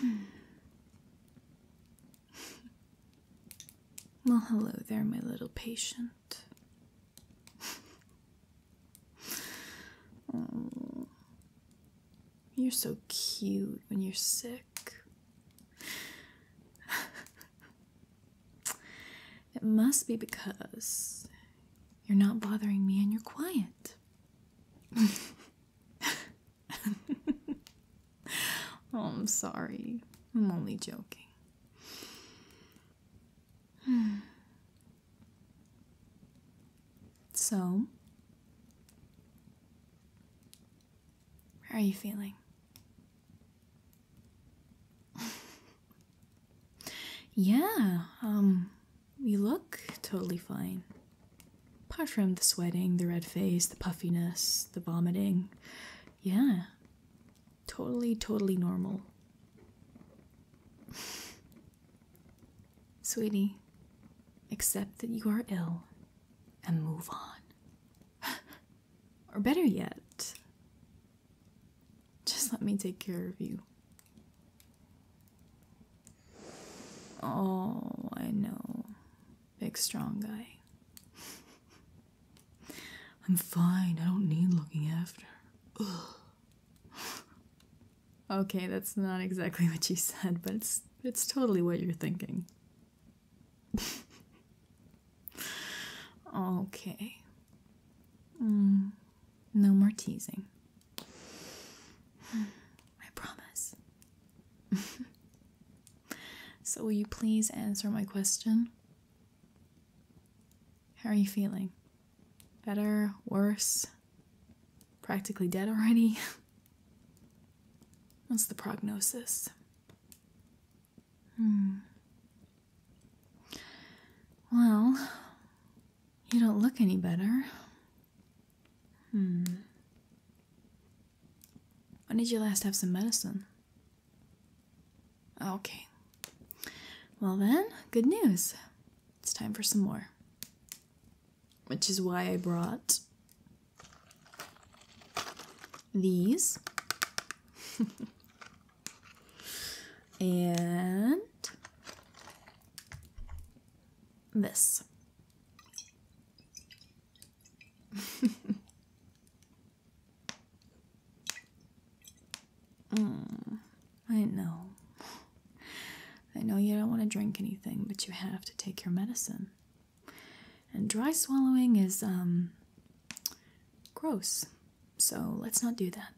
Hmm. Well, hello there, my little patient. Oh, you're so cute when you're sick it must be because you're not bothering me and you're quiet. Oh, I'm sorry. I'm only joking. So, how are you feeling? yeah, um, you look totally fine. Apart from the sweating, the red face, the puffiness, the vomiting. Yeah, totally, totally normal. Sweetie, Except that you are ill and move on. or better yet, just let me take care of you. Oh, I know. Big strong guy. I'm fine. I don't need looking after. Okay, that's not exactly what you said, but it's totally what you're thinking. okay. Mm, no more teasing. I promise. so, will you please answer my question? How are you feeling? Better? Worse? Practically dead already? What's the prognosis? Hmm. Well, you don't look any better. Hmm. When did you last have some medicine? Okay. Well, then, good news. It's time for some more which is why I brought these. and this. Mm, I know. I know you don't want to drink anything, but you have to take your medicine. And dry swallowing is um, gross, so let's not do that.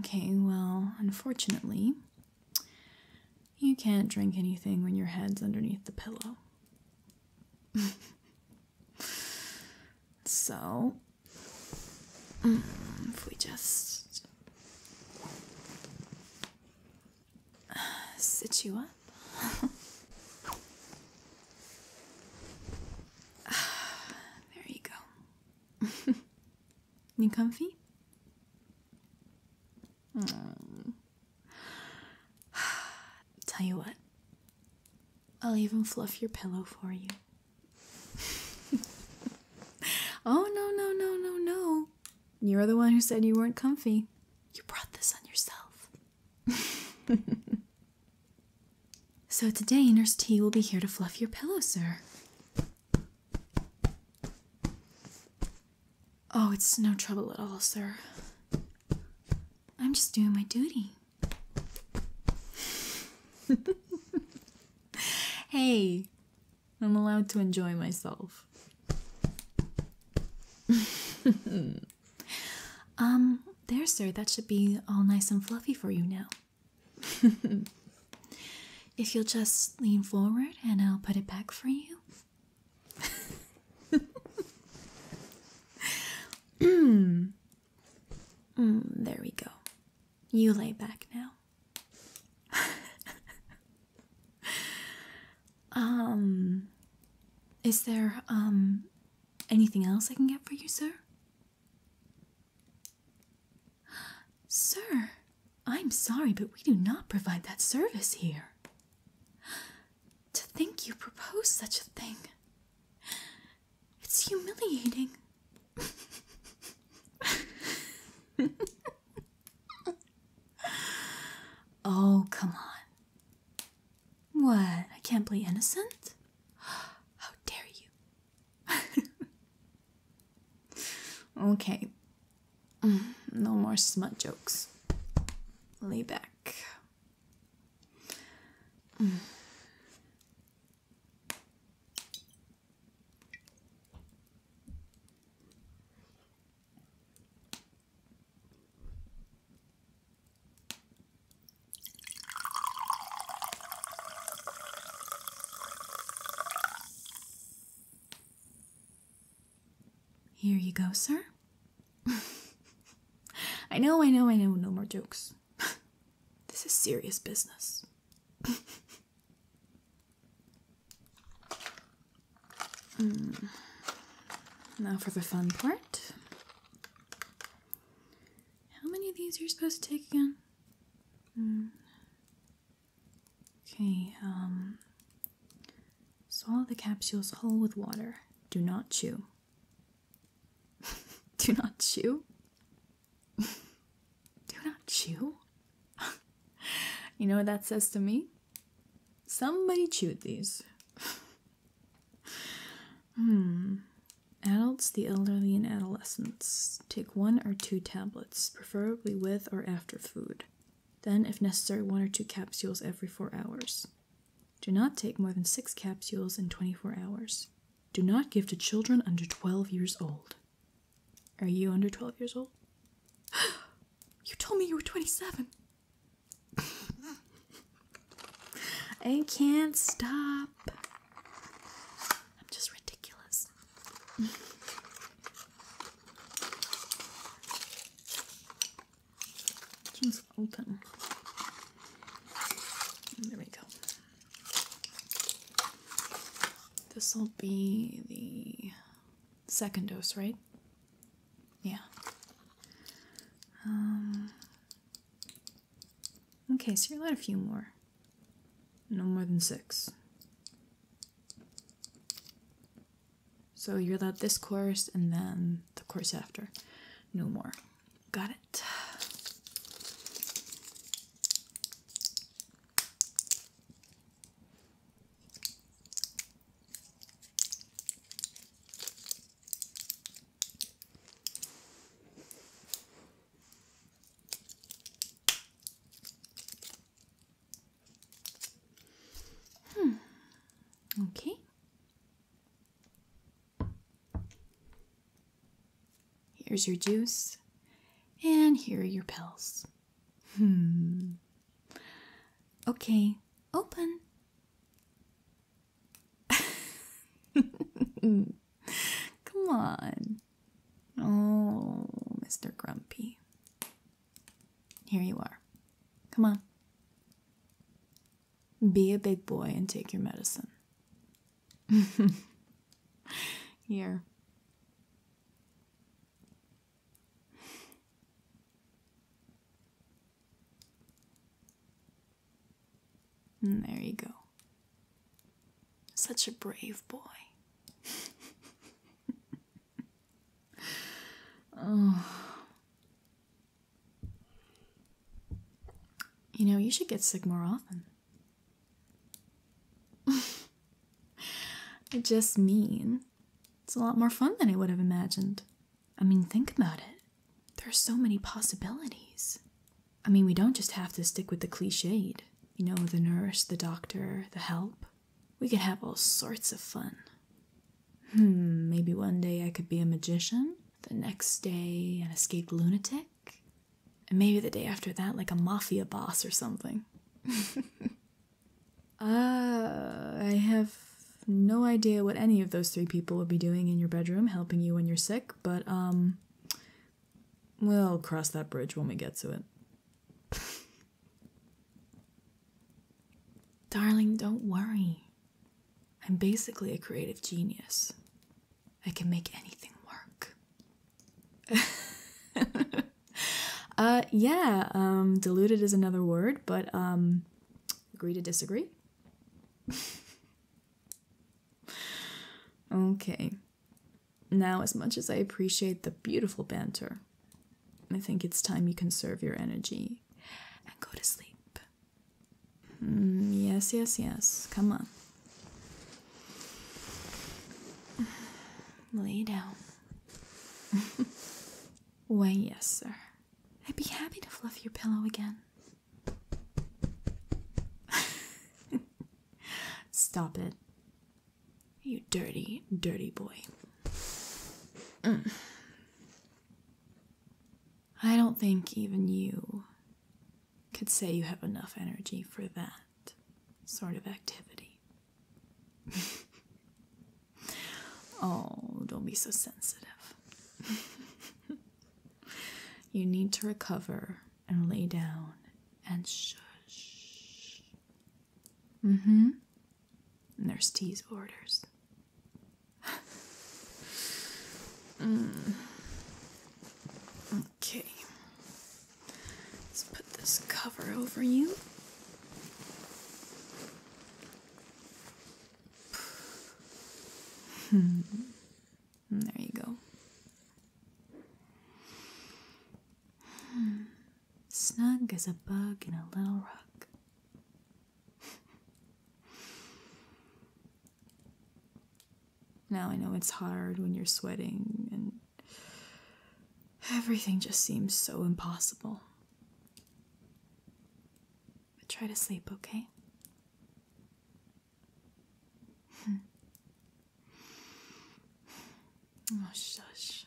Okay, well, unfortunately, you can't drink anything when your head's underneath the pillow. so, mm, if we just sit you up. there you go. you comfy? Mm. Tell you what, I'll even fluff your pillow for you. oh, no, no, no, no, no. You're the one who said you weren't comfy. You brought this on yourself. so today, Nurse T will be here to fluff your pillow, sir. Oh, it's no trouble at all, sir. I'm just doing my duty. hey, I'm allowed to enjoy myself. um, there, sir, that should be all nice and fluffy for you now. if you'll just lean forward and I'll put it back for you. Mm, there we go. You lay back now. um, is there um anything else I can get for you, sir? Sir, I'm sorry, but we do not provide that service here. To think you propose such a thing. It's humiliating. oh, come on. What? I can't play innocent? How dare you? okay, Mm, no more smut jokes. Lay back. Here you go, sir. I know, I know, I know, no more jokes. this is serious business. Hmm. Now for the fun part. How many of these are you supposed to take again? Hmm. Okay, um, So all the capsules whole with water. Do not chew. Do not chew? Do not chew? you know what that says to me? Somebody chewed these. hmm. Adults, the elderly, and adolescents take one or two tablets, preferably with or after food. Then, if necessary, one or two capsules every four hours. Do not take more than six capsules in 24 hours. Do not give to children under 12 years old. Are you under 12 years old? you told me you were 27. I can't stop. I'm just ridiculous. Just open. There we go. This will be the second dose, right? Yeah. Um, okay, so you're allowed a few more. No more than six. So you're that this course and then the course after. No more. Got it. Hmm. Okay. Here's your juice, and here are your pills. Hmm. Okay, open. Come on. Oh, Mr. Grumpy. Here you are. Come on. Be a big boy and take your medicine. Here. there you go. Such a brave boy. oh. You know, you should get sick more often. I just mean, it's a lot more fun than I would have imagined. I mean, think about it. There are so many possibilities. I mean, we don't just have to stick with the cliched. You know, the nurse, the doctor, the help. We could have all sorts of fun. Hmm, maybe one day I could be a magician, the next day, an escaped lunatic, and maybe the day after that, like a mafia boss or something. Ah, I have no idea what any of those three people would be doing in your bedroom helping you when you're sick, but, um, we'll cross that bridge when we get to it. Darling, don't worry. I'm basically a creative genius. I can make anything work. uh yeah, um diluted is another word, but um agree to disagree. okay. Now, as much as I appreciate the beautiful banter, I think it's time you conserve your energy and go to sleep. Hmm, yes, yes, yes. Come on. Lay down. Why, yes, sir. I'd be happy to fluff your pillow again. Stop it. You dirty, dirty boy. I don't think even you could say you have enough energy for that sort of activity. oh, don't be so sensitive. you need to recover and lay down and shush. Mm-hmm. Mm hmm. Nurse T's orders. Okay. Let's put this cover over you. there you go. Hmm snug as a bug in a little rock. now I know it's hard when you're sweating and everything just seems so impossible. But try to sleep, okay? Oh, shush.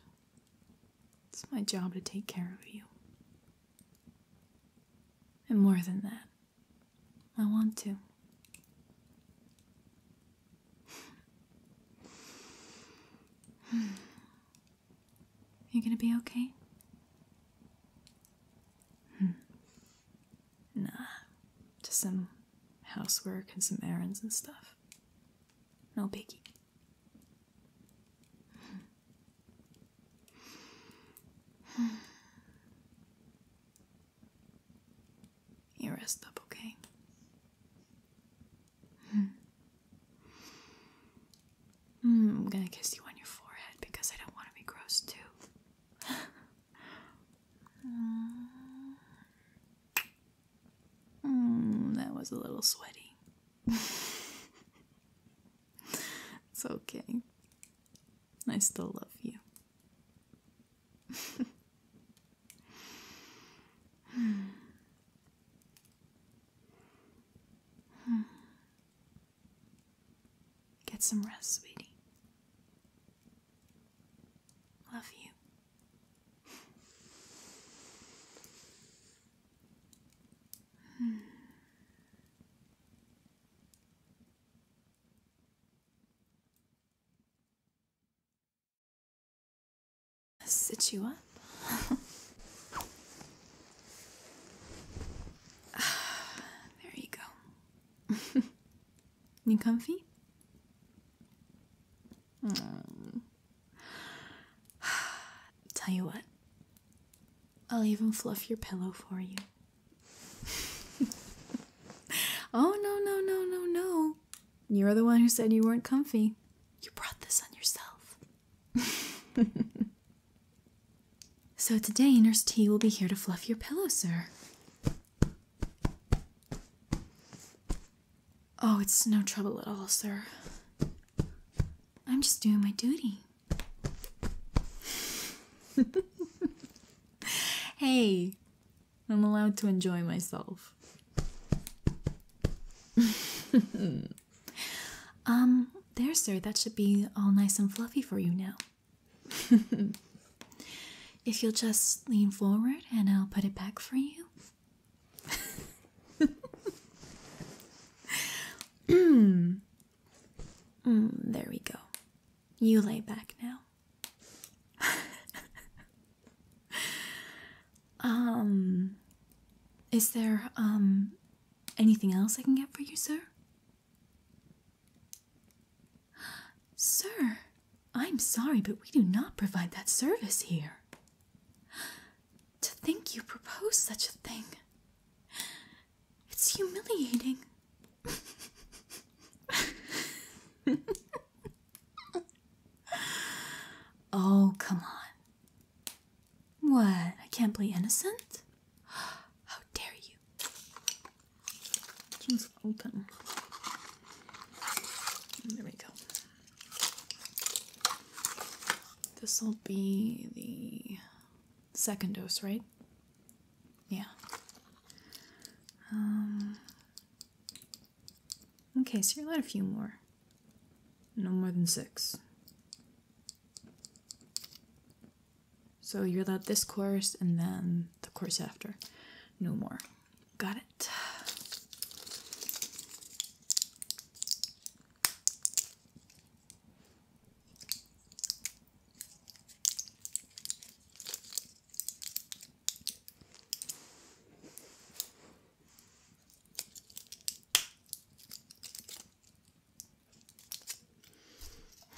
It's my job to take care of you. And more than that, I want to. you gonna be okay? Hmm. nah, just some housework and some errands and stuff. No piggy. You rest up, okay? Hmm, I'm gonna kiss you on your forehead because I don't want to be gross too. Uh, Mm, that was a little sweaty. it's okay. I still love you. Hmm. Get some rest, sweetie. Love you. Sit you up. there you go. you comfy? Hmm. Tell you what, I'll even fluff your pillow for you. oh, no, no, no, no, no. You're the one who said you weren't comfy. You brought this on yourself. so today, Nurse T will be here to fluff your pillow, sir. Oh, it's no trouble at all, sir. I'm just doing my duty. hey, I'm allowed to enjoy myself. um, there, sir, that should be all nice and fluffy for you now. If you'll just lean forward and I'll put it back for you. Hmm. Hmm, there we go. You lay back now. um, is there um anything else I can get for you, sir? Sir, I'm sorry, but we do not provide that service here. To think you propose such a thing. It's humiliating. oh, come on. What? I can't play innocent? How dare you? open. There we go. This will be the second dose, right? Yeah. Um, okay, so you're allowed a few more. No more than six. So you're allowed this course and then the course after. No more. Got it.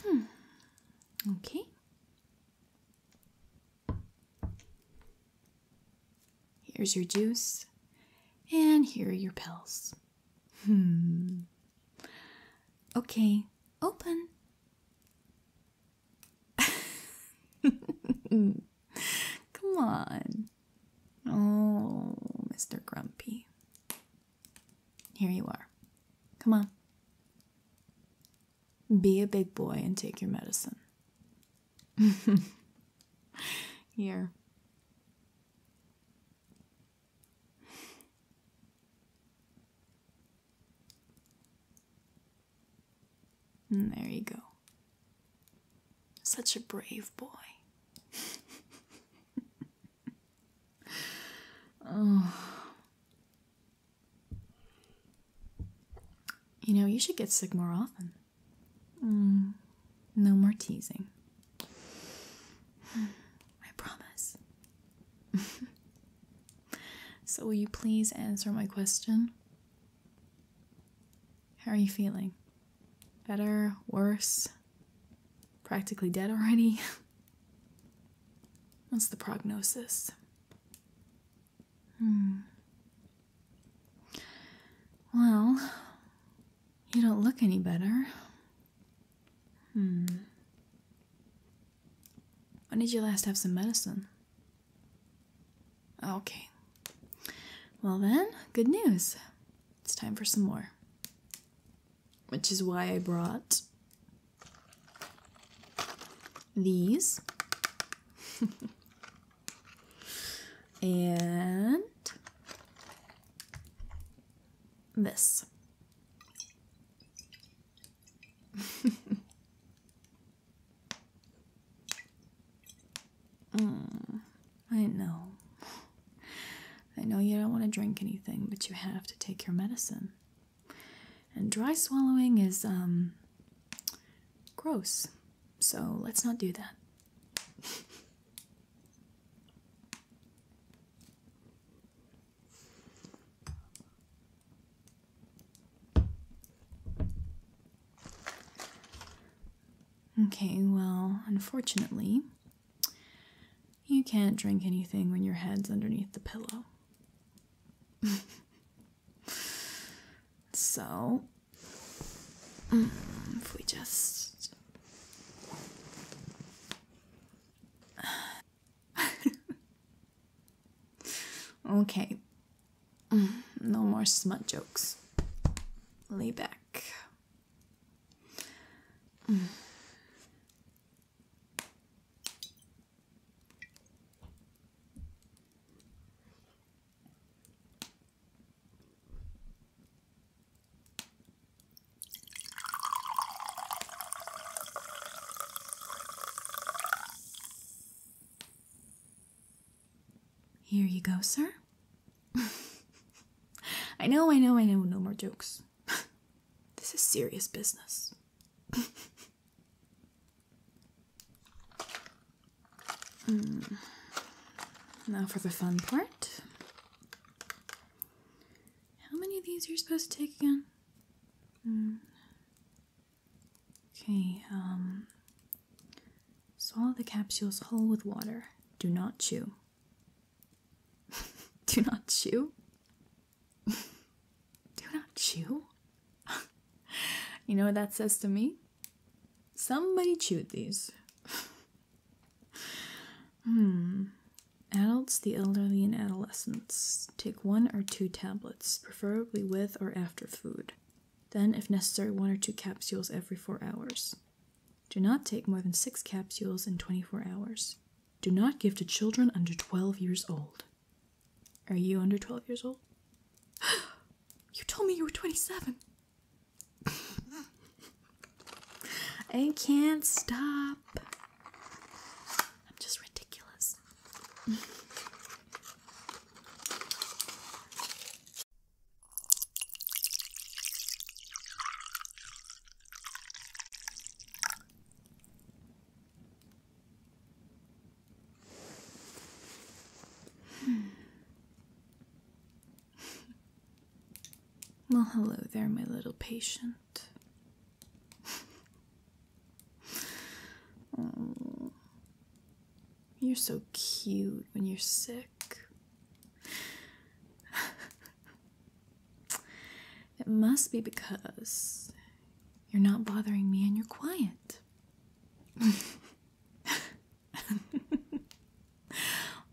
Hmm. Okay. Here's your juice, and here are your pills. Hmm. Okay, open. Come on. Oh, Mr. Grumpy. Here you are. Come on. Be a big boy and take your medicine. Here. there you go. Such a brave boy. oh. You know, you should get sick more often. Mm, no more teasing. I promise. so, will you please answer my question? How are you feeling? Better? Worse? Practically dead already? What's the prognosis? Hmm. Well, you don't look any better. Hmm. When did you last have some medicine? Okay. Well, then, good news. It's time for some more. Which is why I brought these and this. mm, I know. I know you don't want to drink anything, but you have to take your medicine. And dry swallowing is um, gross, so let's not do that. Okay, well, unfortunately, you can't drink anything when your head's underneath the pillow. So, mm, if we just. okay. Mm, no more smut jokes. Lay back. Mm. Here you go, sir. I know, I know, I know, no more jokes. this is serious business. Mm. Now for the fun part. How many of these are you supposed to take again? Mm. Okay, um. Swallow the capsules whole with water. Do not chew. Do not chew? Do not chew? you know what that says to me? Somebody chewed these. hmm. Adults, the elderly, and adolescents take one or two tablets, preferably with or after food. Then, if necessary, one or two capsules every four hours. Do not take more than six capsules in 24 hours. Do not give to children under 12 years old. Are you under 12 years old? You told me you were 27. I can't stop. I'm just ridiculous well, hello there, my little patient. you're so cute when you're sick. It must be because you're not bothering me and you're quiet.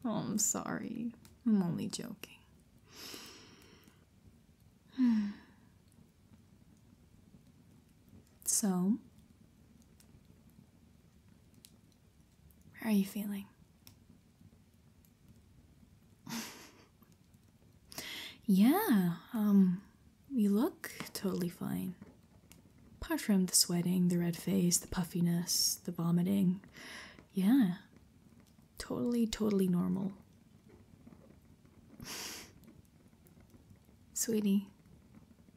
Oh, I'm sorry. I'm only joking. So, how are you feeling? Yeah, we um, look totally fine. Apart from the sweating, the red face, the puffiness, the vomiting. Yeah, totally, totally normal. Sweetie,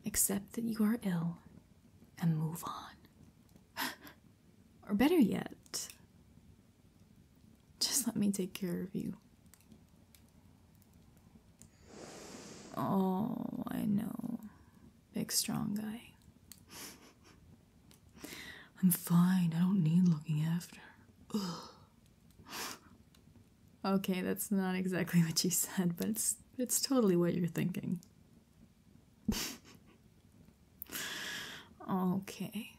accept that you are ill and move on. or better yet, just let me take care of you. Oh, I know. Big strong guy. I'm fine. I don't need looking after. Okay, that's not exactly what you said, but it's it's totally what you're thinking. okay.